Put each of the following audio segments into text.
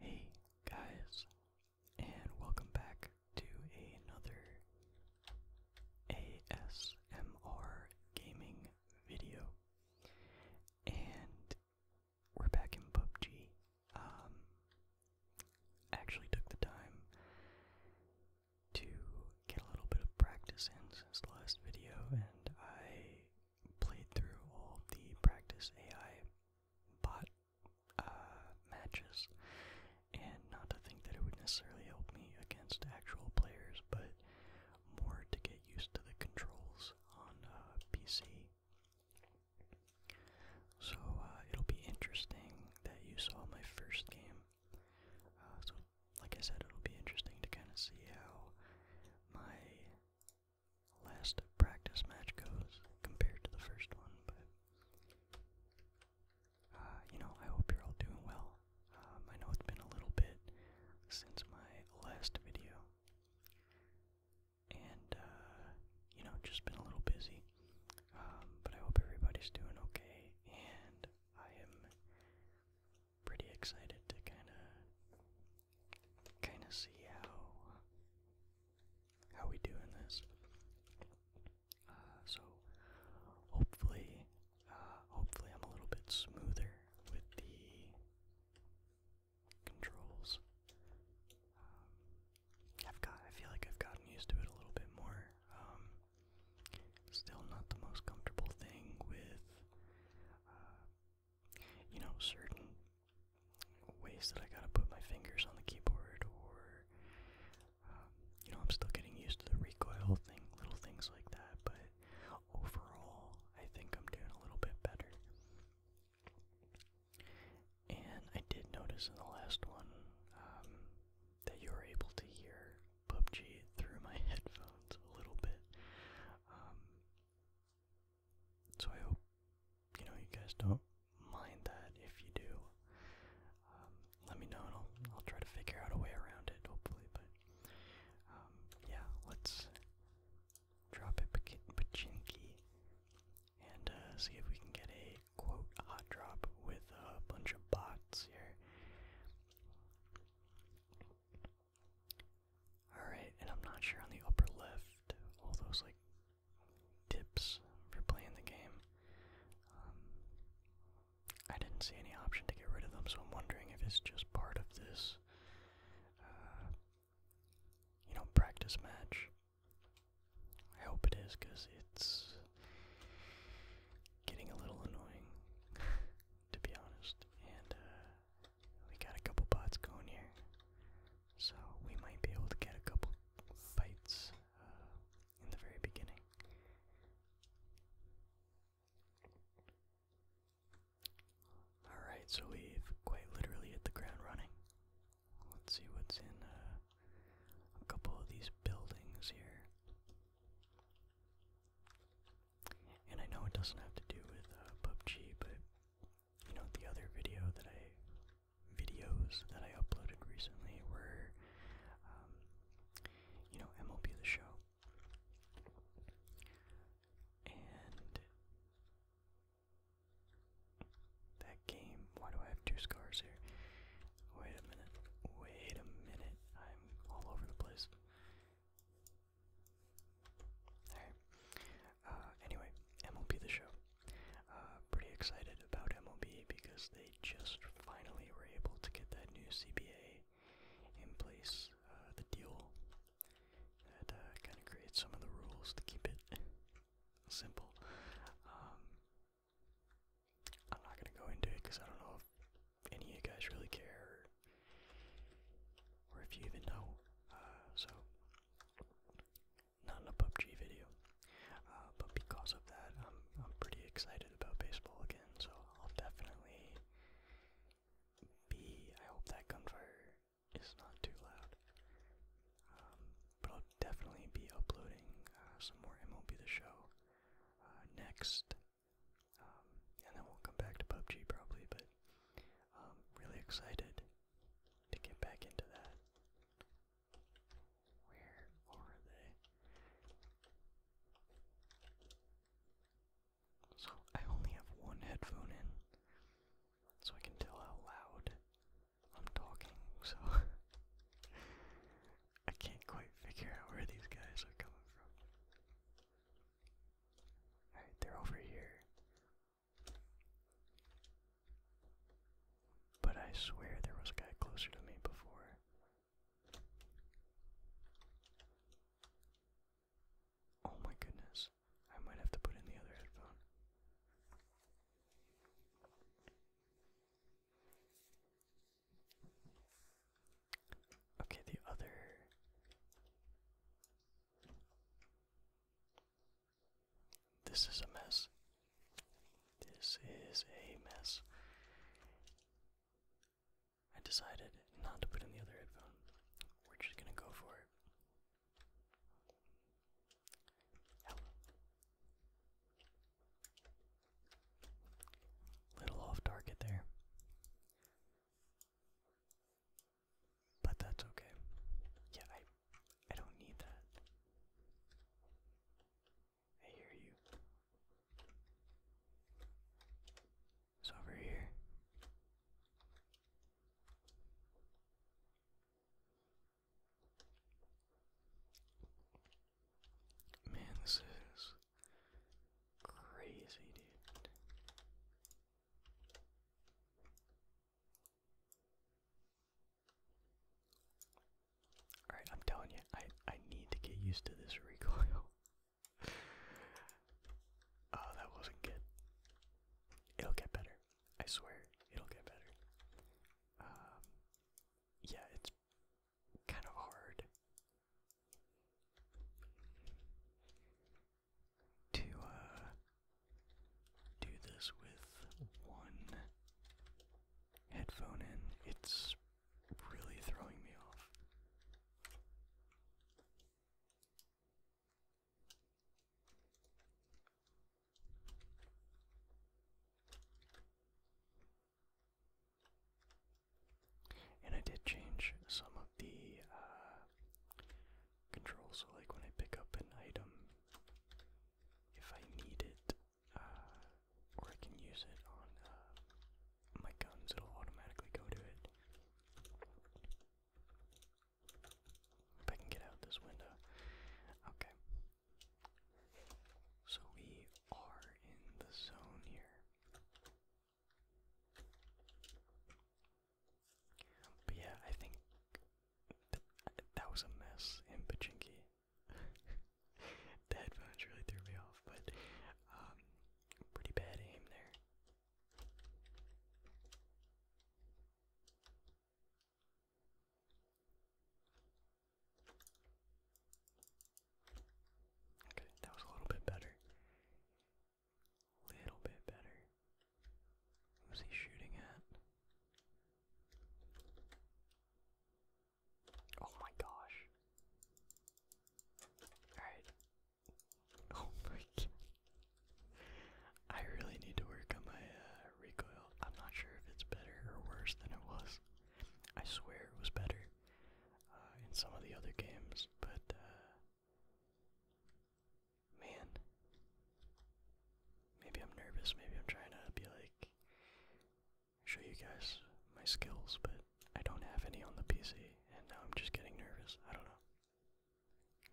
Hey guys, and welcome back to another ASMR gaming video. And we're back in PUBG. Um, actually took the time to get a little bit of practice in since the last video, and I played through all the practice AI bot uh, matches, and not to think that it would necessarily help me against actual players, but more to get used to the controls on uh, PC. So uh, it'll be interesting that you saw my first game. Uh, so, like I said, it'll be interesting to kind of see how my last practice match goes compared to the first one, but uh, you know, I hope you're all doing well. Um, I know it's been a little bit since my last video, and uh, you know, just been a little busy. Um, but I hope everybody's doing okay, and I am pretty excited to kind of kind of see how how we do this. Uh, so hopefully, uh, hopefully I'm a little bit smoother with the controls. Um, I've got. I feel like I've gotten used to it a little bit more. Um, still not the most comfortable thing with. Uh, you know, certain ways that I gotta put my fingers on the keyboard, or um, you know, I'm still getting used to the recoil thing, little things like that. But overall, I think I'm doing a little bit better. And I did notice in the last one um, that you were able to hear PUBG through my headphones a little bit. Um, so I hope you know you guys don't mind that. If you do, um, let me know and I'll try to figure out a way around it. Hopefully, but um, yeah, let's drop it pachinki and uh, see if we can get a quote hot drop with a bunch of bots here. Alright, and I'm not sure on the upper left, all those like tips for playing the game. Um, I didn't see any option to get rid of them, so I'm wondering if it's just part of this, uh, you know, practice match. I hope it is, because it's getting a little annoying, to be honest. And uh, we got a couple bots going here. So we might be able to get a couple fights uh, in the very beginning. Alright, so we've quite literally hit the ground running. Let's see what's in uh, a couple of these buildings here. And I know it doesn't have to do with uh, PUBG, but you know, the other video that I videos that I uploaded recently were, um, you know, MLB The Show. And that game, why do I have two scars here? Wait a minute, wait a minute, I'm all over the place. Alright, uh, anyway, MLB the show. Uh, pretty excited about MLB because they just finally were able to get that new CBA in place, uh, the deal that kind of creates some of the rules to keep it simple. Um, I'm not gonna go into it because I don't know if any of you guys really care, or, if you even know. so not a PUBG video. Uh, but because of that, I'm I'm pretty excited about baseball again. So I'll definitely be. I hope that gunfire is not too loud. Um, but I'll definitely be uploading uh, some more MLB The Show uh, next, um, and then we'll come back to PUBG probably. But I'm um, really excited to get back into that. Where are they? So I only have one headphone in, so I can tell how loud I'm talking, so I can't quite figure out where these guys are coming from. Alright, they're over here. But I swear there was a guy closer to me before. Oh my goodness. I might have to put in the other headphone. Okay, the other this is a mess. This is a mess. I decided not to put in the other headphone. We're just gonna go for it. Little off target there. But that's okay. Yeah, I I don't need that. I hear you. It's over here. Man, this is crazy, dude. Alright, I'm telling you, I, I need to get used to this recoil. oh, that wasn't good. It'll get better. I swear, it'll get better. Um, yeah, it's kind of hard to uh, do this with one headphone in. It's really throwing me off. And I did change some of the uh, controls, so like when I pick up an item, if I need it, uh, or I can use it on uh, my guns, it'll automatically go to it. If I can get out this window. Okay. So we are in the zone here. But yeah, I think th that was a mess in Pachinki. the headphones really threw me off, but um, pretty bad aim there. Okay, that was a little bit better. Little bit better. Who's he shooting at? Oh my gosh. Alright. Oh my god. I really need to work on my uh, recoil. I'm not sure if it's better or worse than it was. I swear it was better uh, in some of the other games, but uh, man, Maybe I'm nervous, maybe I'm trying to be like show you guys my skills, but I don't have any on the PC and now I'm just getting nervous. I don't know.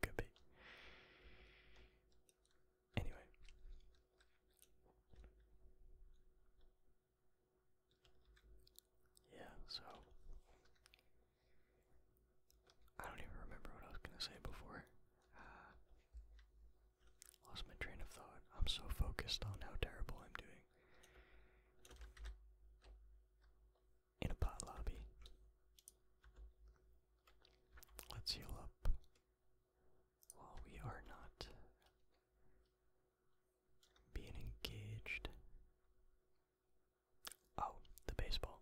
Could be. Anyway. Yeah, so I don't even remember what I was gonna say before. Uh, Lost my train of thought. I'm so focused on how terrible I'm doing. In a pot lobby. Let's heal up. While we are not being engaged. Oh, the baseball.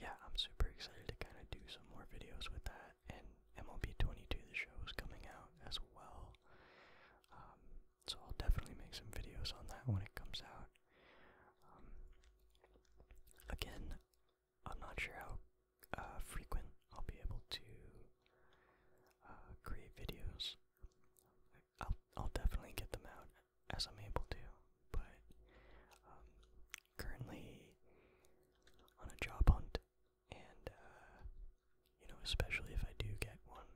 Yeah, I'm super excited to kind of do some more videos with that and MLB 22, the show is coming out as well. Um, so I'll definitely make some videos on that when it comes out. Um, again, I'm not sure how uh, frequent I'll be able to uh, create videos. I'll, I'll definitely get them out as I'm able to, but um, currently on a job hunt and uh, you know, especially if I do get one,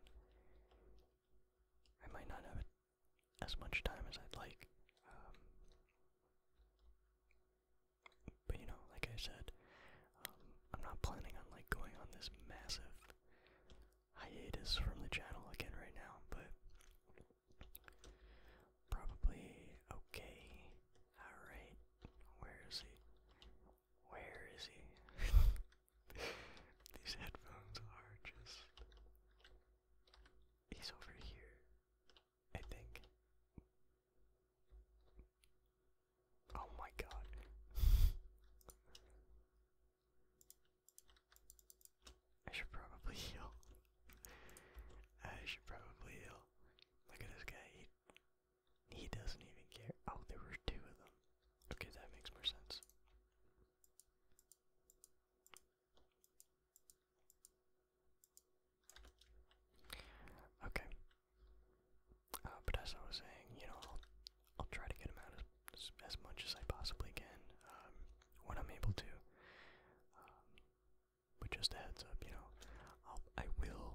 I might not have as much time as I'd like. Um, but you know, like I said, um, I'm not planning on like going on this massive hiatus from the channel again right now, but probably okay. Alright. Where is he? Where is he? These headphones are just. He's over here, I think. Oh my god. I should probably heal. I should probably heal. Look at this guy. eat. He doesn't even care. Oh, there were two of them. Okay, that makes more sense. Okay. Uh, but as I was saying, you know, I'll, try to get him out as, as much as I possibly can um, when I'm able to. Um, but just a heads up, you know, I'll, I will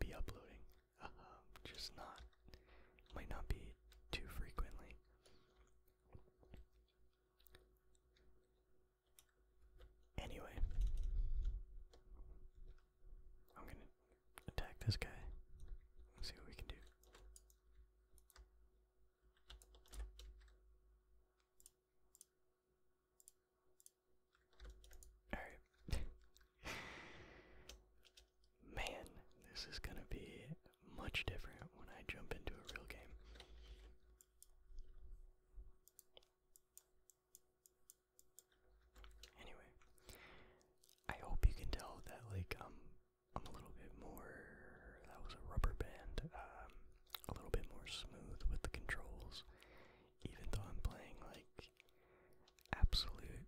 be uploading, uh-huh. just not, might not be too frequently. Anyway, I'm gonna attack this guy. see what we can do. Alright. Man, this is gonna be much different when I jump into a real game. Anyway, I hope you can tell that like I'm a little bit more that was a rubber band, um, a little bit more smooth with the controls, even though I'm playing like absolute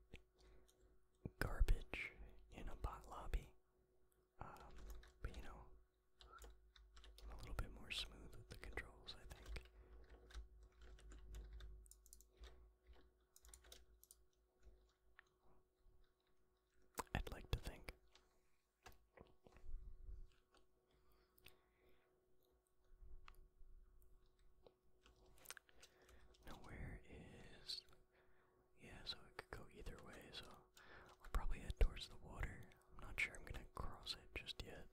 garbage in a bot lobby. Um, but you know, a little bit more smooth with the controls, I think. I'd like to think. Now where is... Yeah, so it could go either way, so I'll probably head towards the water. I'm not sure I'm gonna cross it just yet.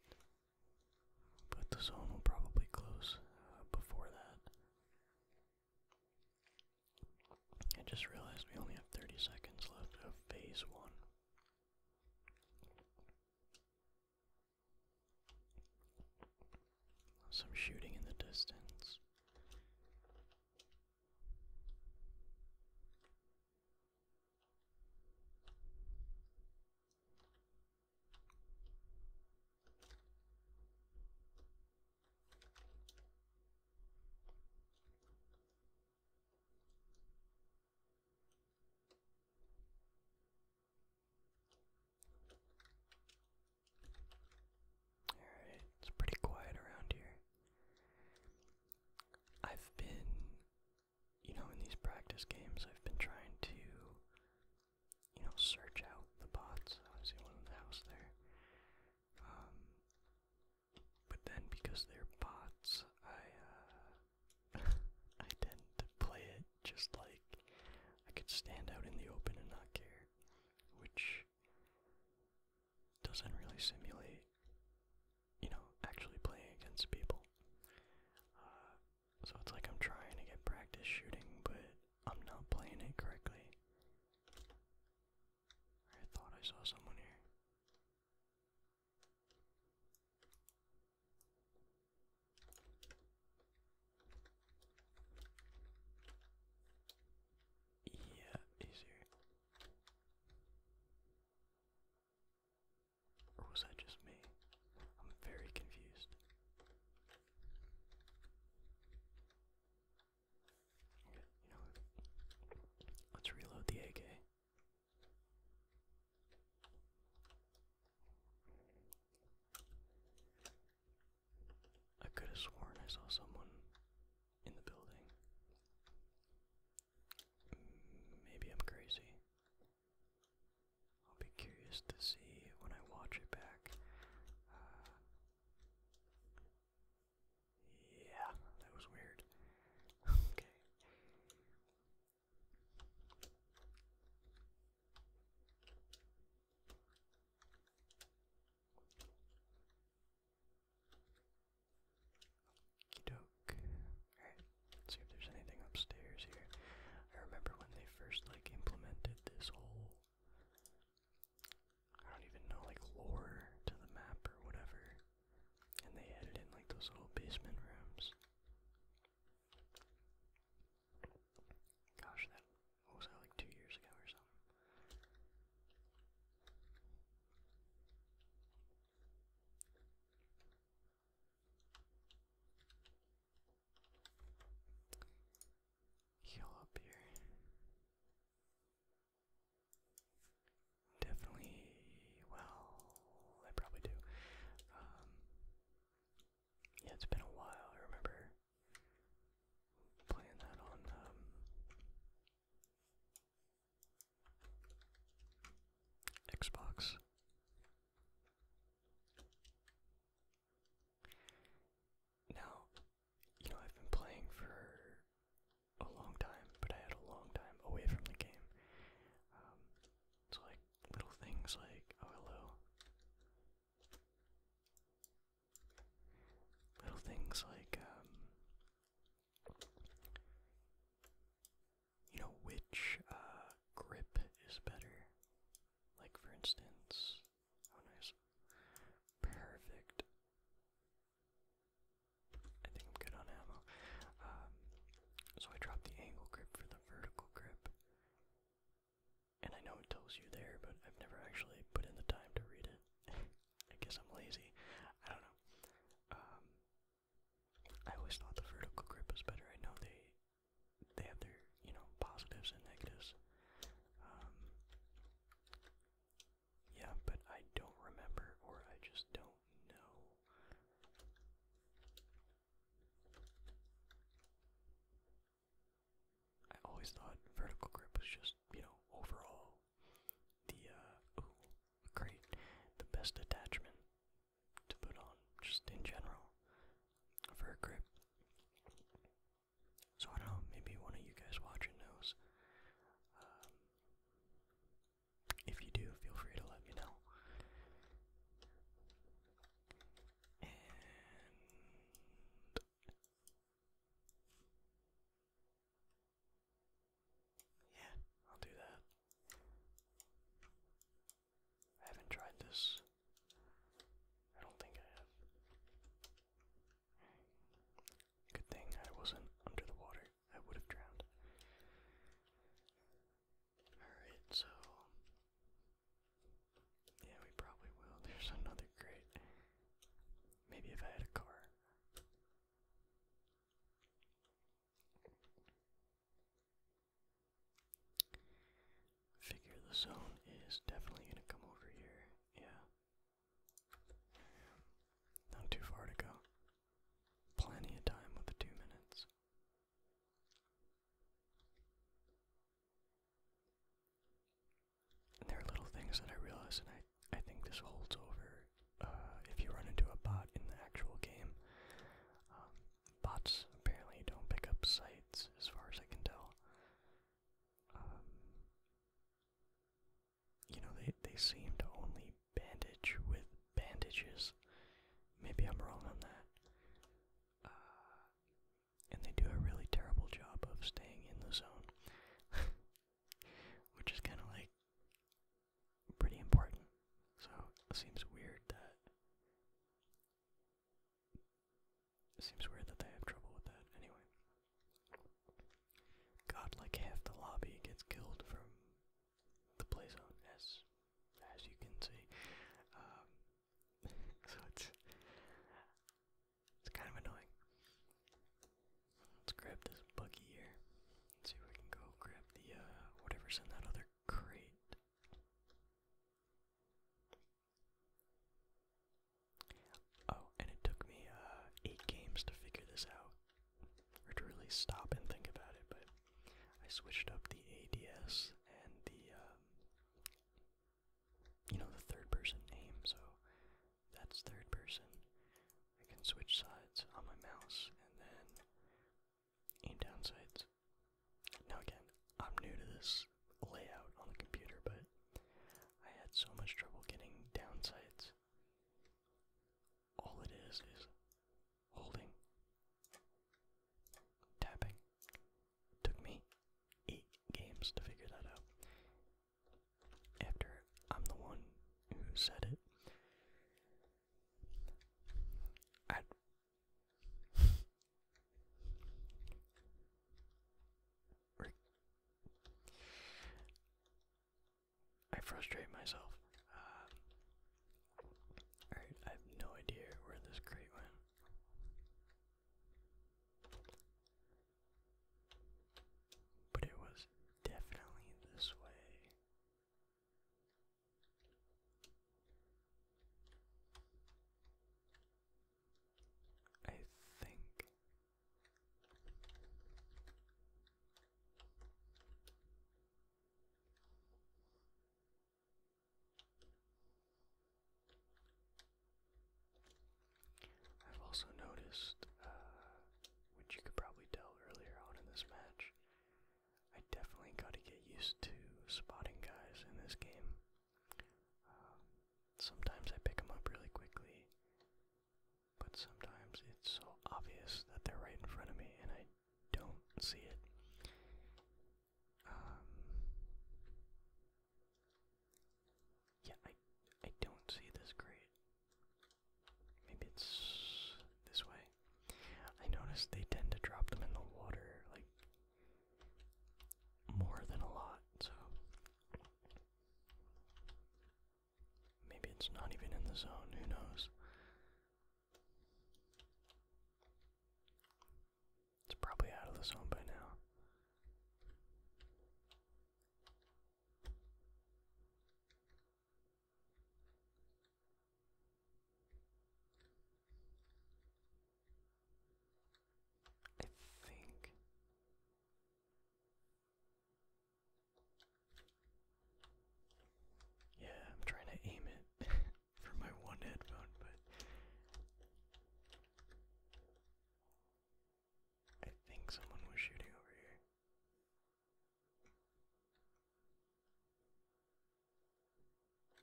But the zone will probably close uh, before that. I just realized we only have 30 seconds left of phase one. Some shooting in the distance. Alright, it's pretty quiet around here. I've been, you know, in these practice games, I've been trying to, you know, search out the bots. I see one in the house there. Um, but then because they're bots, I, uh, I tend to play it just like I could stand out in the open and not care, which doesn't really simulate, you know, actually playing against people. Uh, so it's like I'm trying to get practice shooting, but I'm not playing it correctly. I thought I saw someone here. Yeah, easier. Or was that just me? I'm very confused. Okay, you know what? Let's reload the AK. I could have sworn I saw someone in the building. Mm, maybe I'm crazy. I'll be curious to see when I watch it back. Uh, yeah, that was weird. okay. Okey-doke. Alright, let's see if there's anything upstairs here. I remember when they first like implemented this whole I don't even know like lore to the map or whatever. And they added in like those little basement rooms. Gosh, that was that like two years ago or something? Heal up here. Definitely. Well, I probably do. Um, yeah, it's been a while. I remember playing that on um, Xbox. Now, you know, I've been playing for a long time, but I had a long time away from the game. Um, like little things like oh hello. Little things like um, you know which uh, grip is better. Like for instance oh nice. Perfect. I think I'm good on ammo. Um, so I dropped the angle grip for the vertical grip. And I know it tells you there, but I've never actually put in the time to read it. I guess I'm lazy. I don't know. Um, I always thought the vertical grip was better. I know they they have their you know positives and negatives. Um, yeah, but I don't remember, or I just don't know. I always thought vertical grip was just, you know, overall the uh great the best attachment to put on just in general for a grip. So I don't know, maybe one of you guys watching knows. Um, if you do, feel free to let me know yeah, I'll do that. I haven't tried this. I don't think I have. Good thing I wasn't under the water. I would have drowned. Alright, so yeah, we probably will. There's another great. Maybe if I had a car. Figure the zone is definitely gonna come over here. Yeah. Not too far to go. Plenty of time with the two minutes there are little things that I realize, and I, I think this holds over uh, if you run into a bot in the actual game. Um, bots apparently don't pick up sights, as far as I can tell. Um, you know, they, they seem to only bandage with bandages. Maybe I'm wrong on that. Uh, and they do a really terrible job of staying in the zone, which is kind of like pretty important. So it seems weird that seems weird that they have trouble with that. Anyway, God, like half the lobby gets killed from the play zone, as as you can see. Um, so it's it's kind of annoying. Let's grab this buggy here. see if we can go grab the uh, whatever's in that other crate. Oh, and it took me uh, eight games to figure this out. to really stop and think about it, but I switched up the ADS and the um, you know, the third person name, so that's third person. I can switch sides on my mouse and then aim down sights. Now, again, I'm new to this layout on the computer, but I had so much trouble getting down sights. All it is is holding, tapping, Took me eight games to figure that out. After I'm the one who said it. I. frustrate myself. Uh, I have no idea where this crate went. But it was definitely this way. I think. I've also noticed, uh, which you could probably tell earlier on in this match, I definitely got to get used to spotting guys in this game. Um, sometimes I pick them up really quickly, but sometimes it's so obvious that they're right in front of me and I don't see it. Um, yeah, I I don't see this great. Maybe it's this way. I noticed they tend to drop them in the water, like more than a lot, so maybe it's not even in the zone, who knows? It's probably out of the zone by now. I think Yeah, I'm trying to aim it for my one headphone, but I think someone was shooting over here.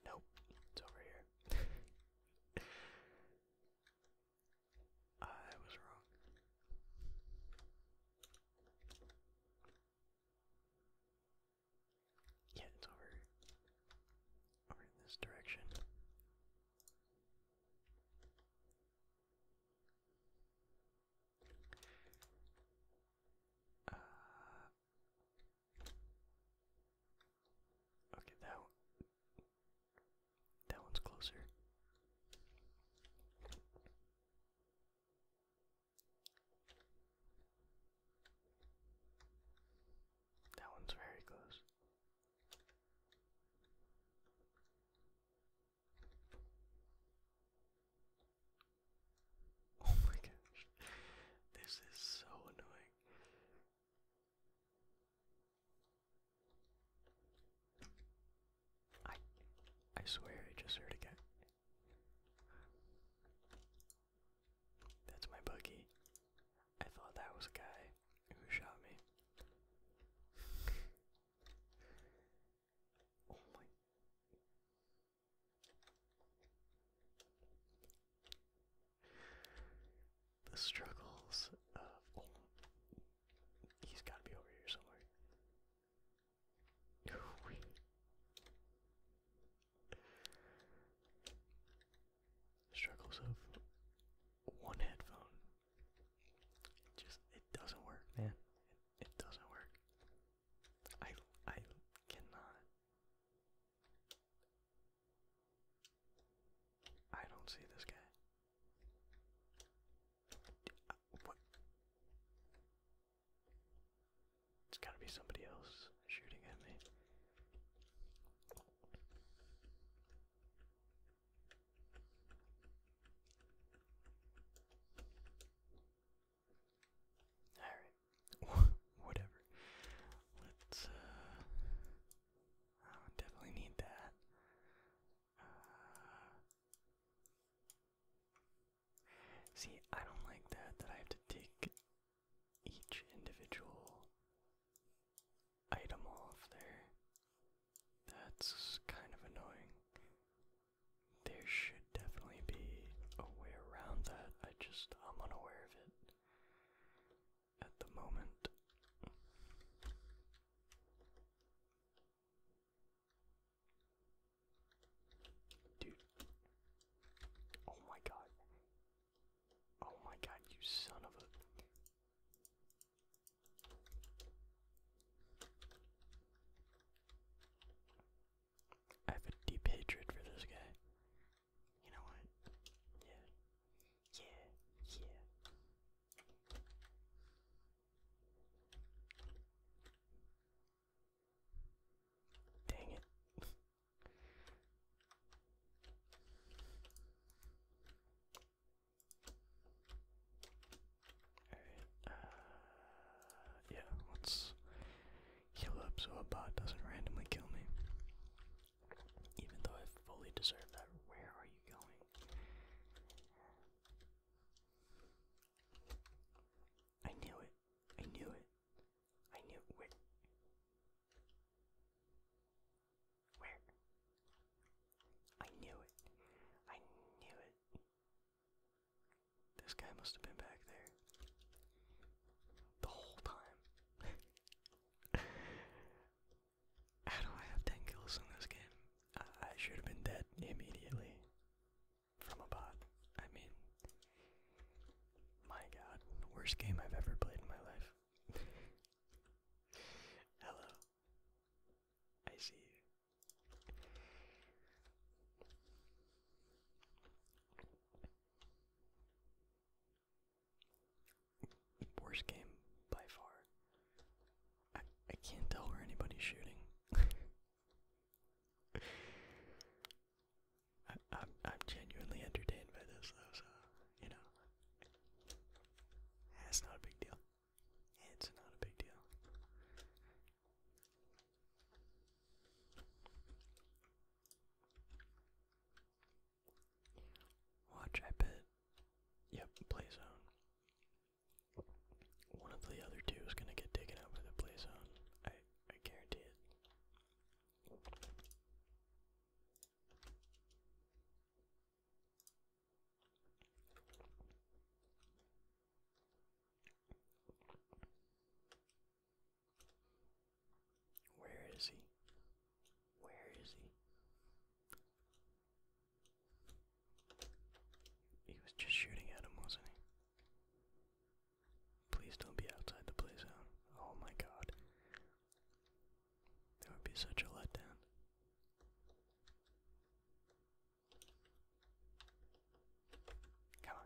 Nope, it's over here. I was wrong. Yeah, it's over over in this direction. Uh, okay, that that one's closer. That one's very close. Oh my gosh. This is so annoying. I I swear I just heard a guy. That's my buggy. I thought that was a guy who shot me. Oh the struggles oh, he's gotta be over here somewhere struggles of one headphone. It just it doesn't work, man. It, doesn't work. I I cannot. I don't see this guy. What? It's gotta be somebody else shooting at me. Whatever. Let's, uh, definitely need that. Uh, see, I don't like that, that I have to take each individual item off there. That's kind of annoying. There should definitely be a way around that. I just, I'm unaware of it at the moment. Dude. Oh my god. Oh my god, you son of a. I have a deep hatred for this guy. You know what? Yeah. Yeah. Yeah. Dang it. Alright, uh, yeah, let's heal up so a bot doesn't randomly kill me. Even though I fully deserve that. Where are you going? I knew it. I knew it. I knew it. Where? I knew it. I knew it. This guy must have been back there the whole time. How do I have 10 kills in this game? I, should have been dead immediately from a bot. I mean, my god, worst game I've ever played in my life. Hello. I see. Worst game by far. I I can't tell where anybody's shooting. I, I'm genuinely entertained by this though, so you know that's not a big deal. It's not a big deal. Watch, I bet. Yep, play zone. One of the other two is gonna get taken out by the play zone. I I guarantee it. Where is he? Where is he? He was just shooting at him, wasn't he? Please don't be outside the play Oh my god. That would be such a letdown. Come on.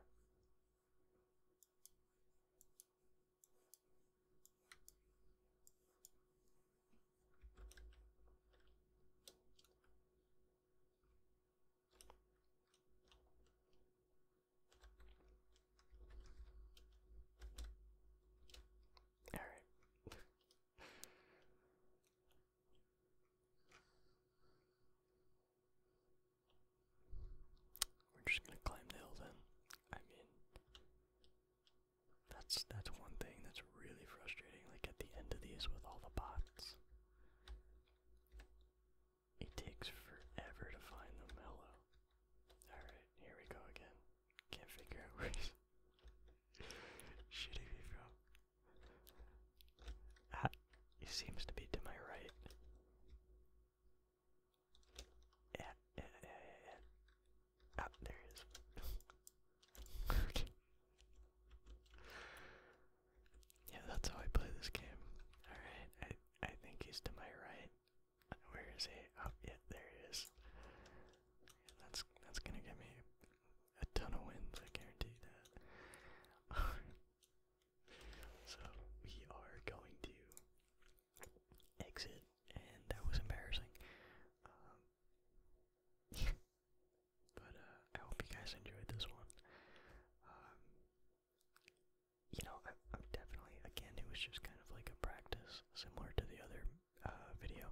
Alright. We're just gonna climb the hill then. I mean that's that's one thing that's really frustrating, like at the end of these with all the bots. It takes forever to find them, hello. Alright, here we go again. Can't figure out where he's shitty be from. Ah, he seems to be to my right. Yeah, yeah, yeah, yeah, yeah. Ah, there he is. okay. Yeah, that's how I play this game. Alright, I I think he's to my right. Where is he? Oh, yeah, there he is. That's that's gonna get me a ton of wins. I guarantee that. so we are going to exit, and that was embarrassing. Um, but uh, I hope you guys enjoyed this one. Um, you know, I, am definitely again. It was just kind of like a practice, similar to the other uh, video.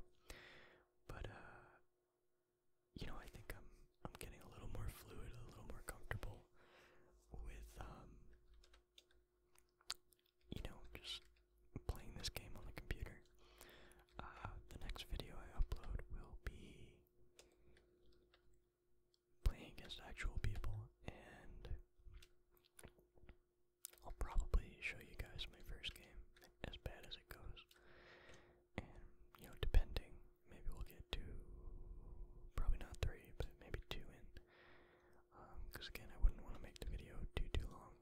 But uh, you know, I think I'm I'm getting a little more fluid, a little more comfortable with um, you know, just playing this game on the computer. Uh, the next video I upload will be playing against actual people and I'll probably show you guys my first game, as bad as it goes. And, you know, depending, maybe we'll get to probably not three, but maybe two in. Because, um, again, I wouldn't want to make the video too, too long.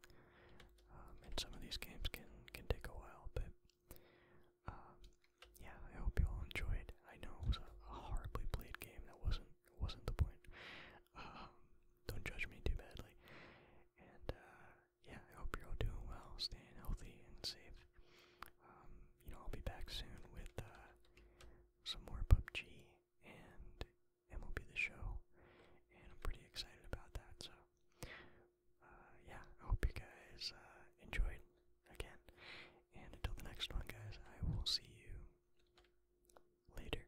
Um, and some of these games can, can take a while, but, um, yeah, I hope you all enjoyed. I know it was a, horribly played game, that wasn't, wasn't the point. don't judge me too badly. And, uh, yeah, I hope you're all doing well, staying healthy and safe. Um, you know, I'll be back soon with uh, some more PUBG and MLB The Show, and I'm pretty excited about that. So, uh, yeah, I hope you guys uh, enjoyed again. And until the next one, guys, I will see you later.